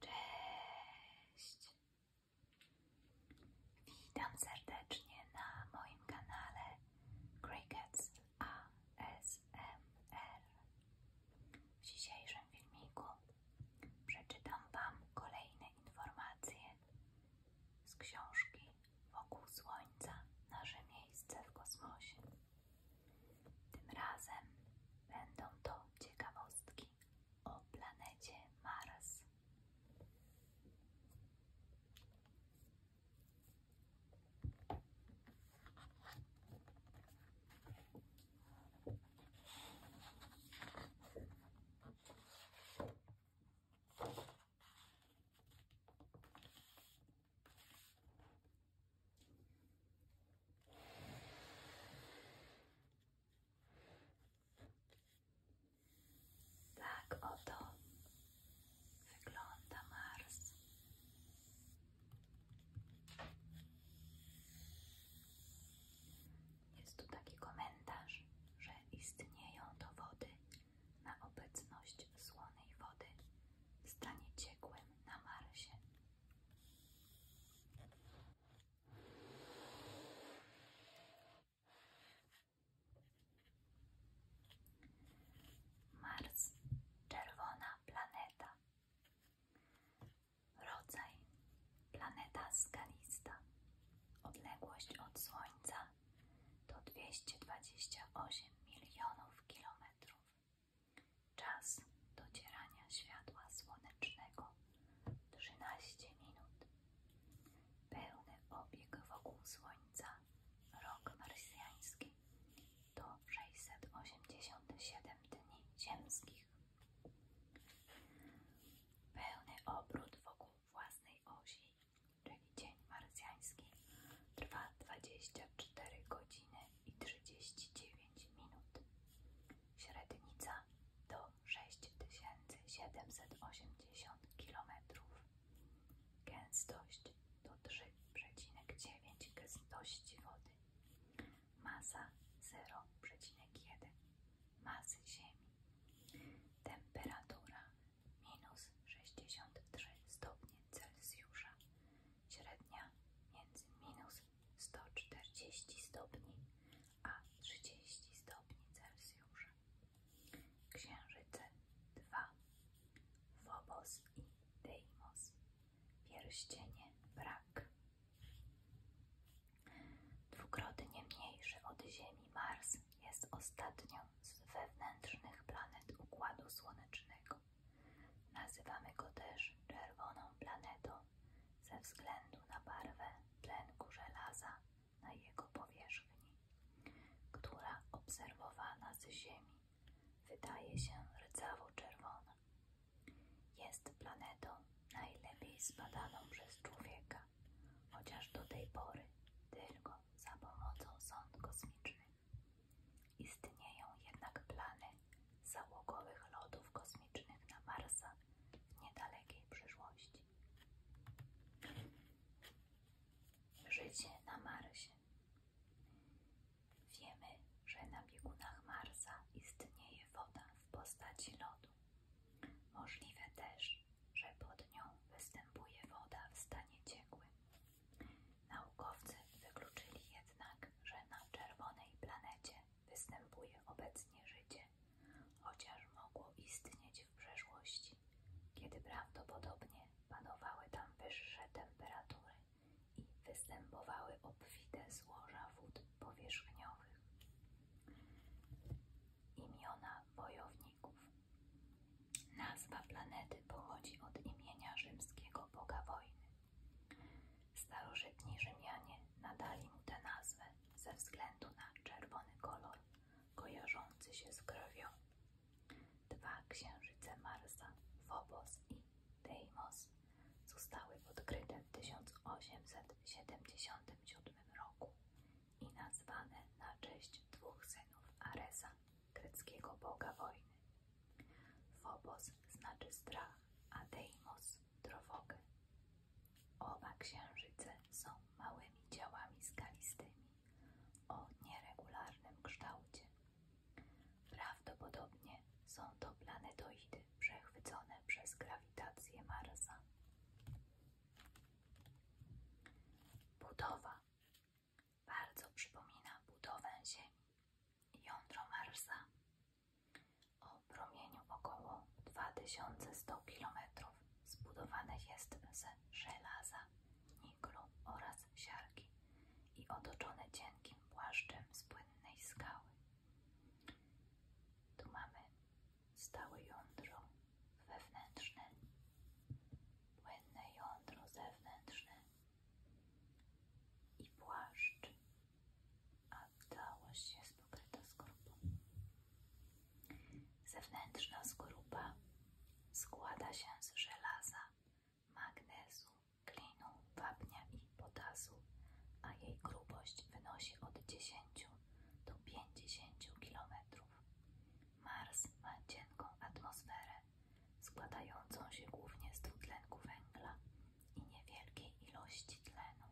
Cześć! Witam serdecznie na moim kanale Crickets ASMR. W dzisiejszym filmiku przeczytam Wam kolejne informacje z książki Wokół Słońca Nasze miejsce w kosmosie. Tym razem będą to ciekawostki o planecie Mars. Tak oto wygląda Mars. Jest tu taki komentarz, że istnieją dowody na obecność słonej wody w stanie ciekłym na Marsie. Mars, czerwona planeta. Rodzaj planeta skalista. Odległość od Słońca to 228 milionów kilometrów. Czas docierania światła słonecznego 13 minut. Pełny obieg wokół Słońca, rok marsjański, to 687 dni ziemskich. Pełny obrót wokół własnej osi, czyli dzień marsjański, trwa 24 godziny i 39 minut. Średnica to 6780 km. Gęstość to 3,9 gęstości wody. Masa 0,1 masy Ziemi. Temperatura minus 63 stopnie Celsjusza średnia między minus 140 stopni a 30 stopni Celsjusza. Księżyce 2. Phobos i Deimos. Pierścienie brak. Dwukrotnie mniejszy od Ziemi Mars jest ostatnią z wewnętrznych planet Układu Słonecznego. Nazywamy go też czerwoną planetą ze względu na barwę tlenku żelaza na jego powierzchni, która obserwowana z Ziemi wydaje się rdzawo-czerwona. Jest planetą najlepiej zbadaną przez człowieka, chociaż do tej pory tylko za pomocą sond kosmicznych. Istnieją jednak plany załogowych lodów kosmicznych na Marsa w niedalekiej przyszłości. Życie na Marsie. Wiemy, że na biegunach Marsa istnieje woda w postaci lodu. Możliwe też, że pod nią występuje woda w stanie ciekłym. Naukowcy wykluczyli jednak, że na czerwonej planecie występuje obecnie życie, chociaż mogło istnieć w przeszłości, kiedy prawdopodobnie panowały tam wyższe temperatury i występowały obfite złoża wód powierzchniowych. Imiona wojowników. Nazwa planety pochodzi od imienia rzymskiego boga wojny. Starożytni Rzymianie nadali mu tę nazwę ze względu na czerwony kolor kojarzący się z krwią. Dwa księżyce Marsa, Phobos i Deimos, zostały odkryte w 1877 roku i nazwane na cześć dwóch synów Aresa, greckiego boga wojny. Phobos znaczy strach, a Deimos trwogę. Oba księżyce są małymi ciałami skalistymi o nieregularnym kształcie. Prawdopodobnie są to planetoidy przechwycone przez grawitację Marsa. Budowa bardzo przypomina budowę Ziemi i jądro Marsa o promieniu około 2100 km zbudowane jest z żelaza, niklu oraz siarki i otoczone cienkim płaszczem z płynnej skały. Tu stałe jądro wewnętrzne, płynne jądro zewnętrzne i płaszcz, a całość jest pokryta skorupą. Zewnętrzna skorupa składa się z żelaza, magnezu, klinu, wapnia i potasu, a jej grubość wynosi od 10 do 50 km. Mars ma cienką atmosferę, składającą się głównie z dwutlenku węgla i niewielkiej ilości tlenu.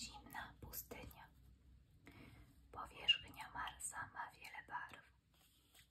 Zimna pustynia. Powierzchnia Marsa ma wiele barw,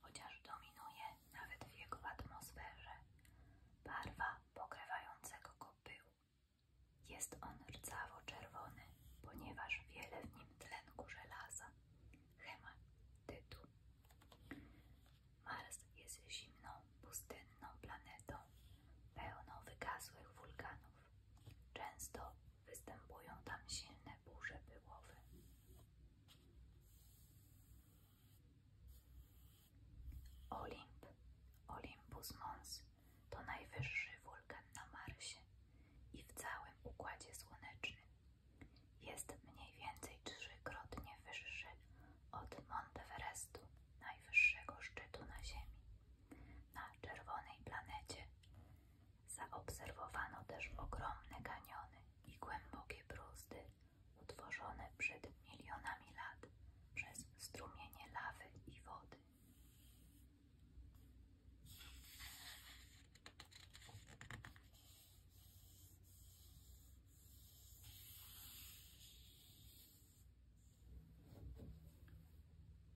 chociaż dominuje nawet w jego atmosferze barwa pokrywającego go pyłu jest on rdzawo-czerwony, ponieważ wiele w nim tlenku żelaza. Hematytu. Mars jest zimną, pustynną planetą, pełną wygasłych wulkanów. Często występują tam silne burze pyłowe. Olimp, Olympus Mons to najwyższy wulkan na Marsie i w całym Układzie Słonecznym. Jest mniej więcej trzykrotnie wyższy od Monteverestu, najwyższego szczytu na Ziemi. Na czerwonej planecie zaobserwowano też ogromne kaniony i głębokie bruzdy utworzone przed milionami lat przez strumienie lawy i wody.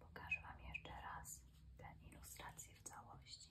Pokażę Wam jeszcze raz tę ilustrację w całości.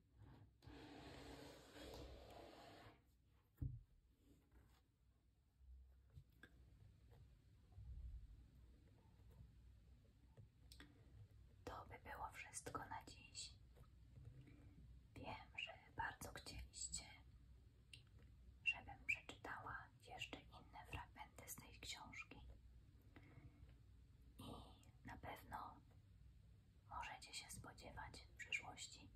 To by było wszystko na dziś. Wiem, że bardzo chcieliście, żebym przeczytała jeszcze inne fragmenty z tej książki. I na pewno możecie się spodziewać w przyszłości,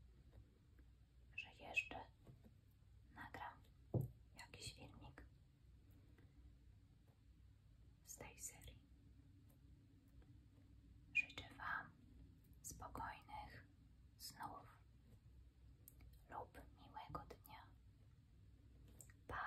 że jeszcze nagram jakiś filmik z tej serii. Życzę Wam spokojnych snów lub miłego dnia. Pa!